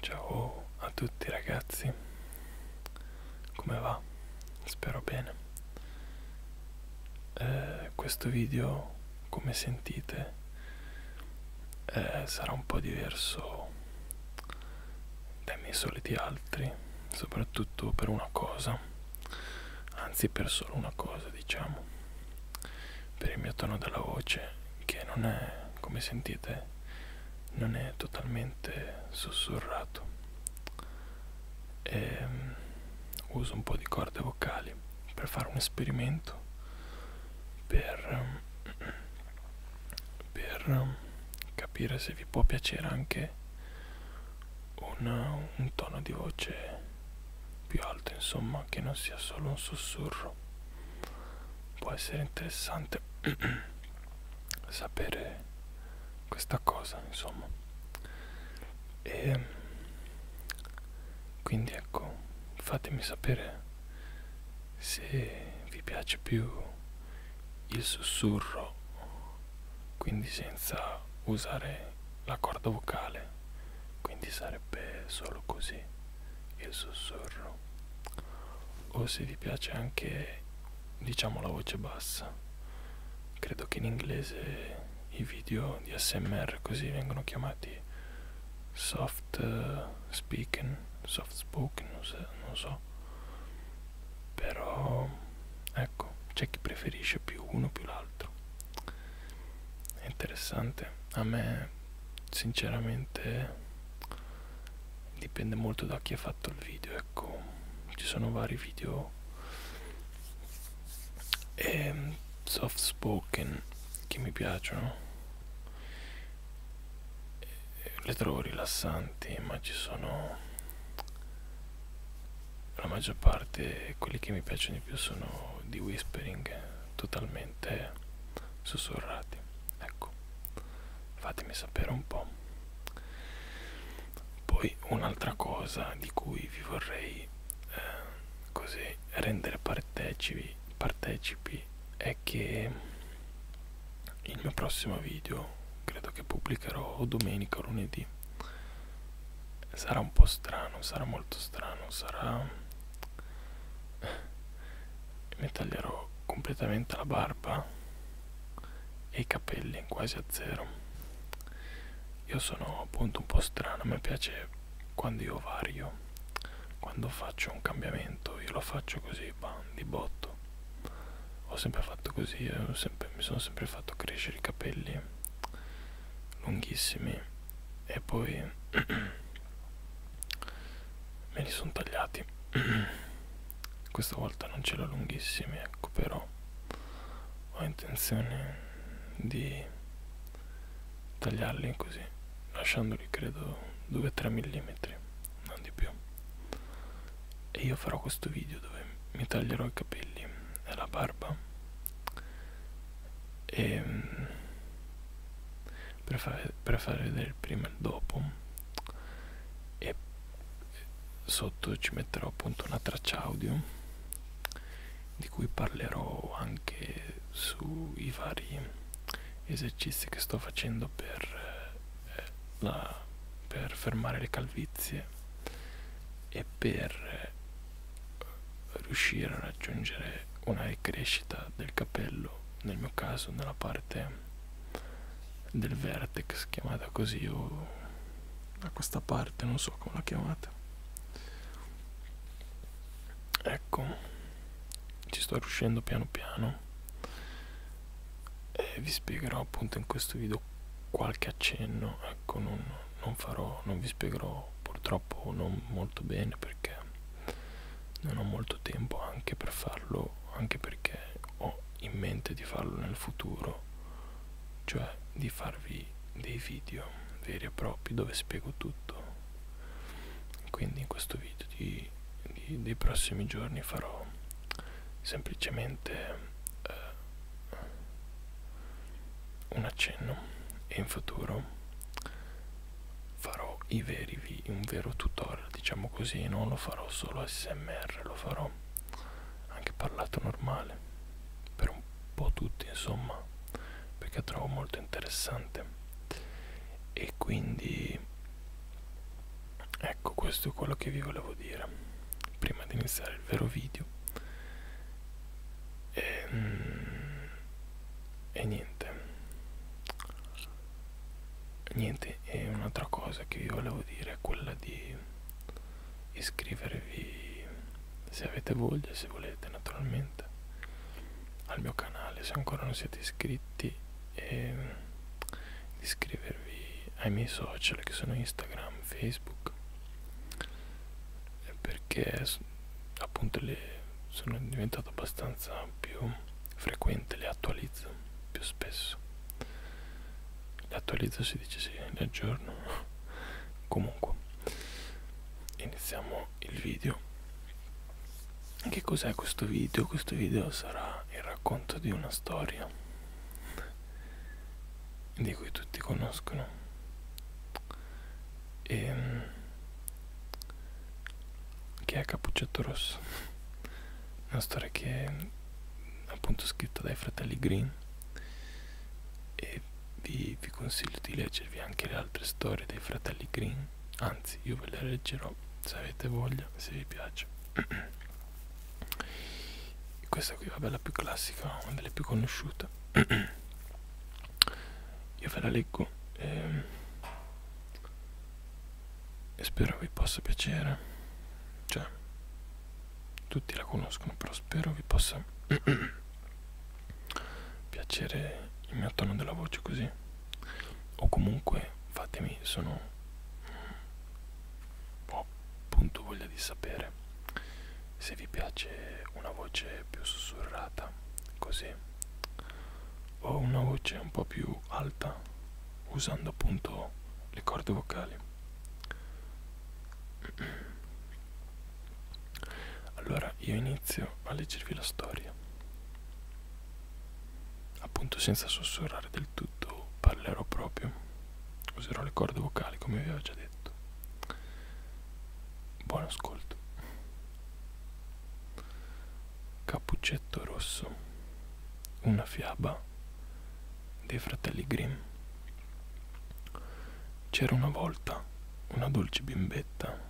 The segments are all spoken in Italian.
Ciao a tutti ragazzi, come va? Spero bene. Eh, questo video, come sentite, eh, sarà un po' diverso dai miei soliti altri, soprattutto per una cosa anzi per solo una cosa diciamo per il mio tono della voce che non è come sentite non è totalmente sussurrato e ehm, uso un po' di corde vocali per fare un esperimento per, per capire se vi può piacere anche una, un tono di voce più alto, insomma, che non sia solo un sussurro. Può essere interessante sapere questa cosa, insomma. E quindi ecco, fatemi sapere se vi piace più il sussurro quindi senza usare la corda vocale quindi sarebbe solo così il sussurro o se vi piace anche diciamo la voce bassa credo che in inglese i video di smr così vengono chiamati soft eh, speaking soft spoken non so però ecco c'è chi preferisce più uno più l'altro è interessante a me sinceramente dipende molto da chi ha fatto il video ecco ci sono vari video ehm, soft spoken che mi piacciono eh, le trovo rilassanti ma ci sono la maggior parte quelli che mi piacciono di più sono di whispering totalmente sussurrati ecco fatemi sapere un po' poi un'altra cosa di cui vi vorrei eh, così rendere partecipi partecipi è che il mio prossimo video credo che pubblicherò domenica o lunedì sarà un po' strano sarà molto strano sarà eh, mi taglierò completamente la barba e i capelli quasi a zero io sono appunto un po' strano a me piace quando io vario quando faccio un cambiamento io lo faccio così bah, di botto ho sempre fatto così, eh, sempre, mi sono sempre fatto crescere i capelli lunghissimi e poi me li sono tagliati. Questa volta non ce l'ho lunghissimi, ecco, però ho intenzione di tagliarli così, lasciandoli credo 2-3 mm, non di più e io farò questo video dove mi taglierò i capelli e la barba e ehm, per fare, per fare vedere il prima e il dopo e sotto ci metterò appunto una traccia audio di cui parlerò anche sui vari esercizi che sto facendo per eh, la, per fermare le calvizie e per eh, riuscire a raggiungere una ricrescita del capello, nel mio caso nella parte del vertex chiamata così o da questa parte, non so come la chiamate. Ecco, ci sto riuscendo piano piano e vi spiegherò appunto in questo video qualche accenno ecco non, non farò non vi spiegherò purtroppo non molto bene perché non ho molto tempo anche per farlo anche perché ho in mente di farlo nel futuro cioè di farvi dei video veri e propri dove spiego tutto quindi in questo video di, di, dei prossimi giorni farò semplicemente eh, un accenno e in futuro farò i veri un vero tutorial diciamo così non lo farò solo smr lo farò anche parlato normale per un po' tutti insomma perché trovo molto interessante e quindi ecco questo è quello che vi volevo dire prima di iniziare il vero video e, ehm, e niente niente e un'altra cosa che vi volevo dire è quella di iscrivervi se avete voglia se volete naturalmente al mio canale se ancora non siete iscritti e di iscrivervi ai miei social che sono Instagram, Facebook, eh, perché appunto le sono diventato abbastanza più frequente, le attualizzo più spesso. Le attualizzo si dice sì, le aggiorno. Comunque, iniziamo il video. Che cos'è questo video? Questo video sarà il racconto di una storia di cui tutti conoscono e, ehm, che è Cappuccetto Rosso una storia che è appunto scritta dai fratelli Green e vi, vi consiglio di leggervi anche le altre storie dei fratelli Green anzi io ve le leggerò se avete voglia se vi piace questa qui vabbè la più classica una delle più conosciute io ve la leggo e, ehm, e spero vi possa piacere cioè tutti la conoscono però spero vi possa piacere il mio tono della voce così o comunque fatemi sono ho appunto voglia di sapere se vi piace una voce più sussurrata così o una voce un po' più alta usando appunto le corde vocali allora io inizio a leggervi la storia appunto senza sussurrare del tutto parlerò proprio userò le corde vocali come vi avevo già detto buon ascolto cappuccetto rosso una fiaba dei fratelli Grimm c'era una volta una dolce bimbetta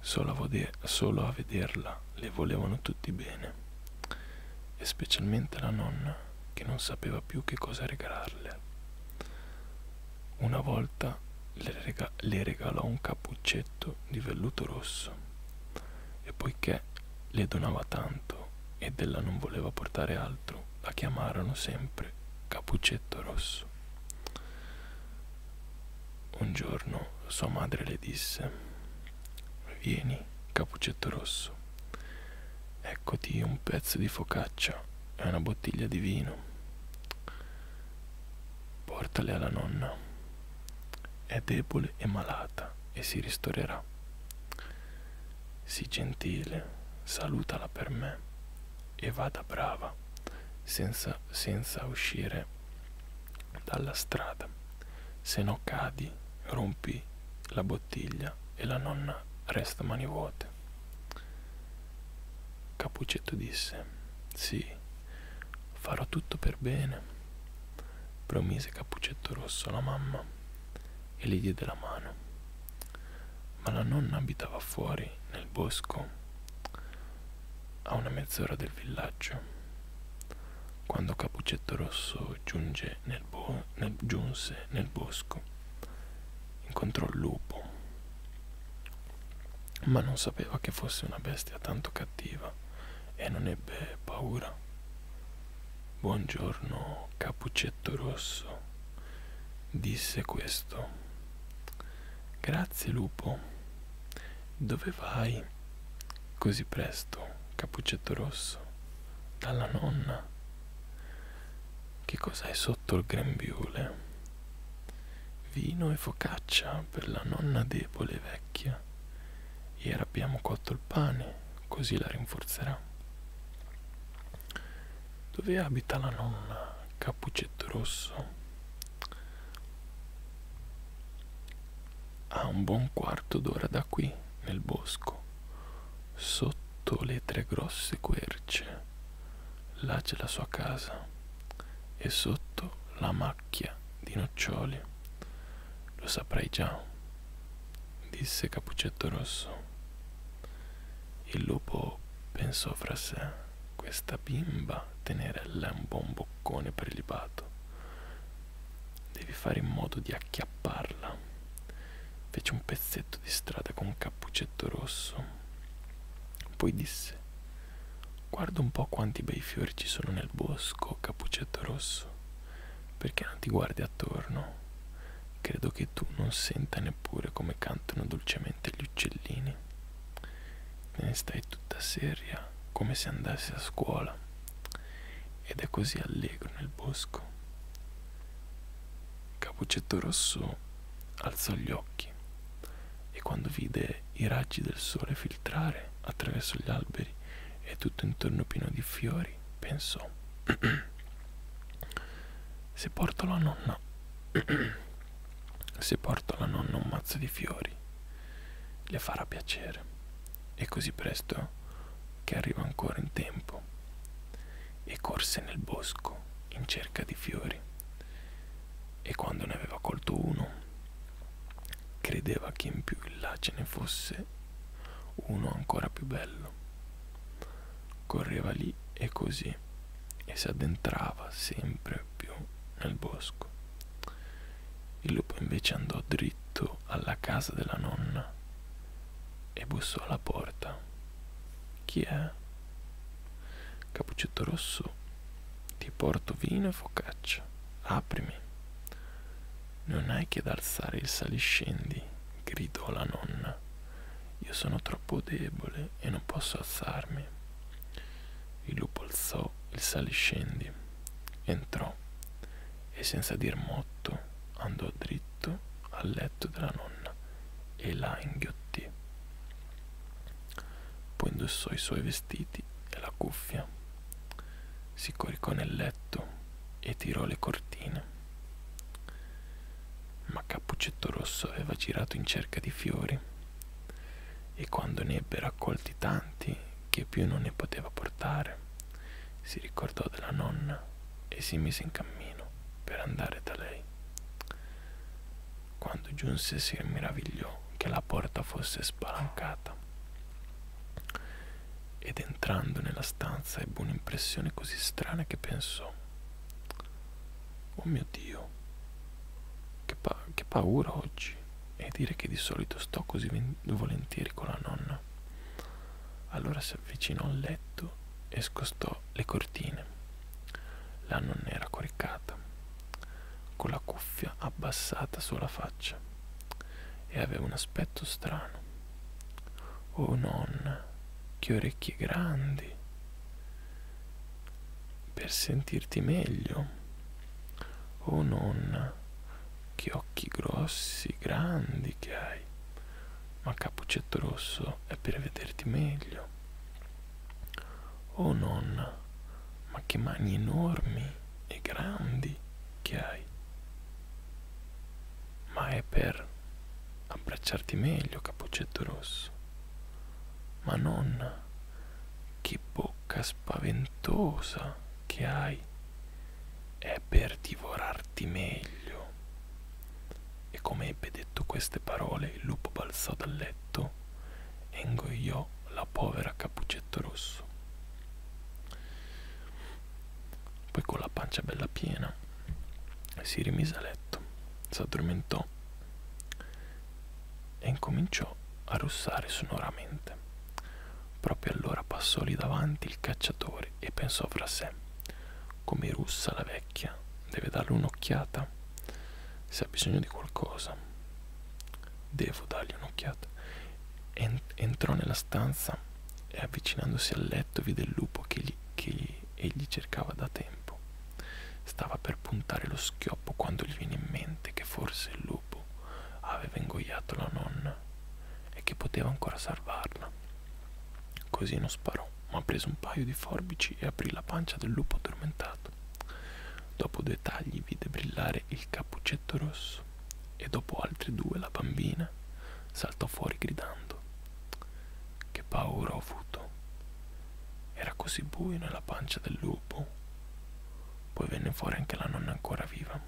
solo a, vode- solo a vederla le volevano tutti bene e specialmente la nonna che non sapeva più che cosa regalarle. Una volta le, rega le regalò un cappuccetto di velluto rosso e poiché le donava tanto ed ella non voleva portare altro, la chiamarono sempre Cappuccetto Rosso. Un giorno sua madre le disse Vieni, Capuccetto Rosso. Eccoti un pezzo di focaccia e una bottiglia di vino. Portale alla nonna. È debole e malata e si ristorerà. Sii gentile, salutala per me e vada brava, senza, senza uscire dalla strada se no cadi, rompi la bottiglia e la nonna resta mani vuote. Capuccetto disse, sì, farò tutto per bene. Promise Capuccetto Rosso alla mamma e le diede la mano. Ma la nonna abitava fuori, nel bosco, a una mezz'ora del villaggio. Quando Capuccetto Rosso giunge giunse nel, bo nel, giunse nel bosco, incontrò il lupo, ma non sapeva che fosse una bestia tanto cattiva e non ebbe paura. Buongiorno, capuccetto rosso, disse questo. Grazie lupo. Dove vai? così presto, cappuccetto rosso, dalla nonna. Che cos'hai sotto il grembiule? Vino e focaccia per la nonna debole e vecchia. Ieri abbiamo cotto il pane, così la rinforzerà. Dove abita la nonna, cappuccetto rosso? A un buon quarto d'ora da qui, nel bosco, sotto le tre grosse querce, là c'è la sua casa e sotto la macchia di noccioli. Lo saprai già, disse Capuccetto Rosso. Il lupo pensò fra sé, questa bimba tenerella è un buon boccone prelibato Devi fare in modo di acchiapparla. Fece un pezzetto di strada con un cappuccetto rosso. Poi disse: Guarda un po' quanti bei fiori ci sono nel bosco, cappuccetto rosso. Perché non ti guardi attorno? Credo che tu non senta neppure come cantano dolcemente gli uccellini. Te ne stai tutta seria, come se andassi a scuola ed è così allegro nel bosco. Capuccetto Rosso alzò gli occhi e quando vide i raggi del sole filtrare attraverso gli alberi e tutto intorno pieno di fiori, pensò se porto la nonna se porto alla nonna un mazzo di fiori le farà piacere e così presto che arriva ancora in tempo, e corse nel bosco in cerca di fiori, e quando ne aveva colto uno, credeva che in più in là ce ne fosse uno ancora più bello. Correva lì e così, e si addentrava sempre più nel bosco. Il lupo invece andò dritto alla casa della nonna e bussò alla porta. Chi è? Cappuccetto rosso, ti porto vino e focaccia. Aprimi. Non hai che ad alzare il saliscendi, gridò la nonna. Io sono troppo debole e non posso alzarmi. Il lupo alzò il saliscendi, entrò e senza dir motto andò dritto al letto della nonna e la inghiottì. Poi indossò i suoi vestiti e la cuffia, si coricò nel letto e tirò le cortine. Ma Cappuccetto Rosso aveva girato in cerca di fiori e quando ne ebbe raccolti tanti che più non ne poteva portare, si ricordò della nonna e si mise in cammino per andare da lei. Quando giunse si meravigliò che la porta fosse spalancata ed entrando nella stanza ebbe un'impressione così strana che pensò Oh mio Dio, che, pa- che paura oggi e dire che di solito sto così volentieri con la nonna. Allora si avvicinò al letto e scostò le cortine. La nonna era coricata, con la cuffia abbassata sulla faccia e aveva un aspetto strano. Oh nonna, che orecchie grandi! Per sentirti meglio. Oh nonna, che occhi grossi, grandi che hai. Ma Cappuccetto Rosso è per vederti meglio. Oh nonna, ma che mani enormi e grandi che hai. Ma è per abbracciarti meglio, Cappuccetto Rosso. Ma nonna, che bocca spaventosa che hai è per divorarti meglio. E come ebbe detto queste parole, il lupo balzò dal letto e ingoiò la povera Capuccetto Rosso. Poi con la pancia bella piena si rimise a letto, si addormentò e incominciò a russare sonoramente. Proprio allora passò lì davanti il cacciatore e pensò fra sé: Come russa la vecchia, deve darle un'occhiata. Se ha bisogno di qualcosa, devo dargli un'occhiata. Entrò nella stanza e avvicinandosi al letto vide il lupo che, gli, che gli, egli cercava da tempo. Stava per puntare lo schioppo quando gli venne in mente che forse il lupo aveva ingoiato la nonna e che poteva ancora salvarla. Così non sparò, ma prese un paio di forbici e aprì la pancia del lupo addormentato. Dopo due tagli vide brillare il cappuccetto rosso e dopo altri due la bambina saltò fuori gridando. Che paura ho avuto. Era così buio nella pancia del lupo. Poi venne fuori anche la nonna ancora viva.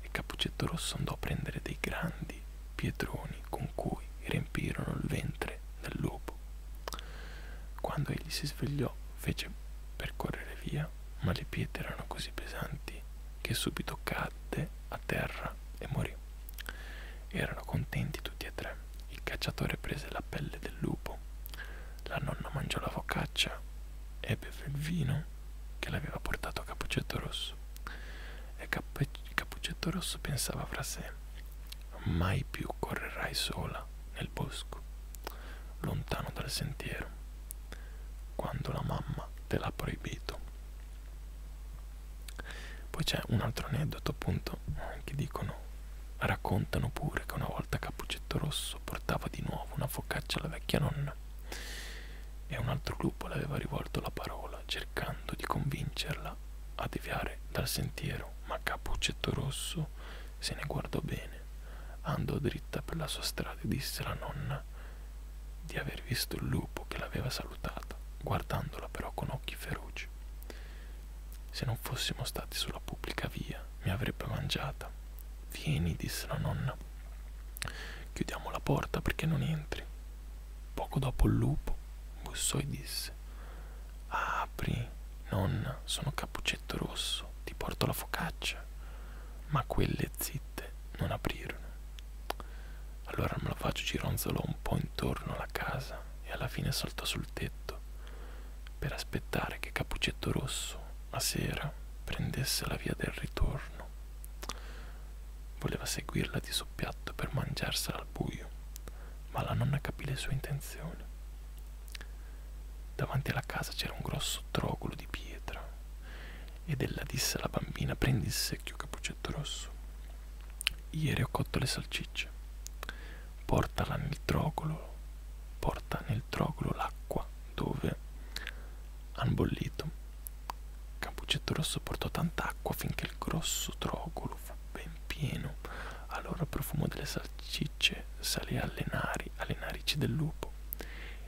E Capuccetto Rosso andò a prendere dei grandi pietroni con cui riempirono il ventre del lupo. Quando egli si svegliò, fece per correre via, ma le pietre erano così pesanti che subito cadde a terra e morì. Erano contenti tutti e tre. Il cacciatore prese la pelle del lupo, la nonna mangiò la focaccia e beve il vino che l'aveva portato Cappuccetto Rosso. E Cappe Cappuccetto Rosso pensava fra sé: Mai più correrai sola nel bosco, lontano dal sentiero, quando la mamma te l'ha proibito. Poi c'è un altro aneddoto, appunto, che dicono, raccontano pure che una volta volta Capuccetto Rosso portava di nuovo una focaccia alla vecchia nonna e un altro lupo le aveva rivolto la parola cercando di convincerla a deviare dal sentiero, ma Capuccetto Rosso se ne guardò bene, andò dritta per la sua strada e disse alla nonna di aver visto il lupo che l'aveva salutata, guardandola però con occhi feroci. Se non fossimo stati sulla pubblica via, mi avrebbe mangiata. Vieni, disse la nonna. Chiudiamo la porta perché non entri. Poco dopo il lupo bussò e disse: Apri, nonna, sono Cappuccetto Rosso, ti porto la focaccia. Ma quelle zitte non aprirono. Allora me la faccio gironzolò un po' intorno alla casa e alla fine saltò sul tetto per aspettare che Capuccetto Rosso a sera prendesse la via del ritorno. Voleva seguirla di soppiatto per mangiarsela al buio, ma la nonna capì le sue intenzioni. Davanti alla casa c'era un grosso trogolo di pietra ed ella disse alla bambina prendi il secchio Capuccetto Rosso. Ieri ho cotto le salsicce. Portala nel trogolo, porta nel nel trogulo l'acqua dove han bollito. Campuccetto Rosso portò tanta acqua finché il grosso trogulo fu ben pieno. Allora il profumo delle salsicce salì alle, nari, alle narici del lupo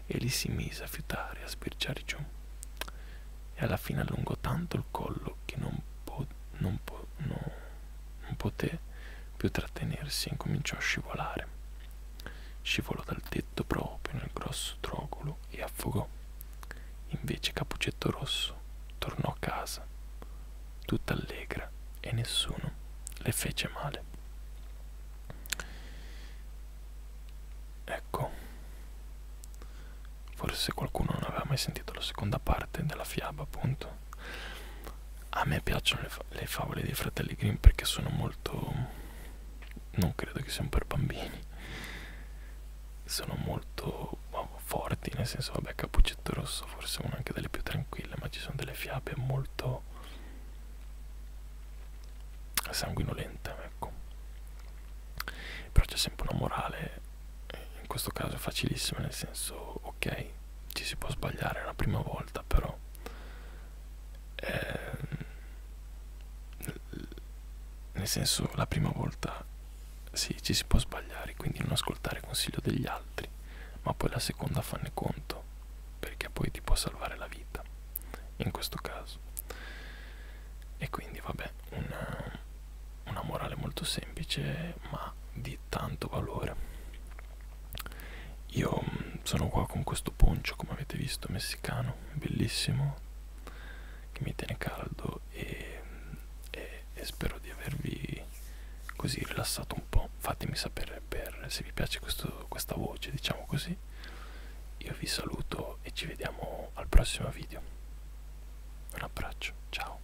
e li si mise a fiutare, a sbirciare giù. E alla fine allungò tanto il collo che non, po non, po no, non poté più trattenersi e incominciò a scivolare. Scivolò dal tetto proprio nel grosso trogolo e affogò. Invece Capuccetto Rosso tornò a casa, tutta allegra e nessuno le fece male. Ecco, forse qualcuno non aveva mai sentito la seconda parte della fiaba, appunto a me piacciono le, fa le favole dei fratelli Grimm perché sono molto non credo che siano per bambini sono molto forti nel senso vabbè Capuccetto Rosso forse è una anche delle più tranquille ma ci sono delle fiabe molto sanguinolente ecco però c'è sempre una morale in questo caso è facilissima nel senso ok ci si può sbagliare la prima volta però eh, nel senso la prima volta sì, ci si può sbagliare, quindi non ascoltare il consiglio degli altri, ma poi la seconda fanne conto, perché poi ti può salvare la vita, in questo caso. E quindi vabbè, una, una morale molto semplice, ma di tanto valore. Io mm, sono qua con questo poncio, come avete visto, messicano, bellissimo, che mi tiene caldo e, e, e spero di avervi così rilassato un po'. Fatemi sapere per, se vi piace questo, questa voce, diciamo così. Io vi saluto e ci vediamo al prossimo video. Un abbraccio, ciao.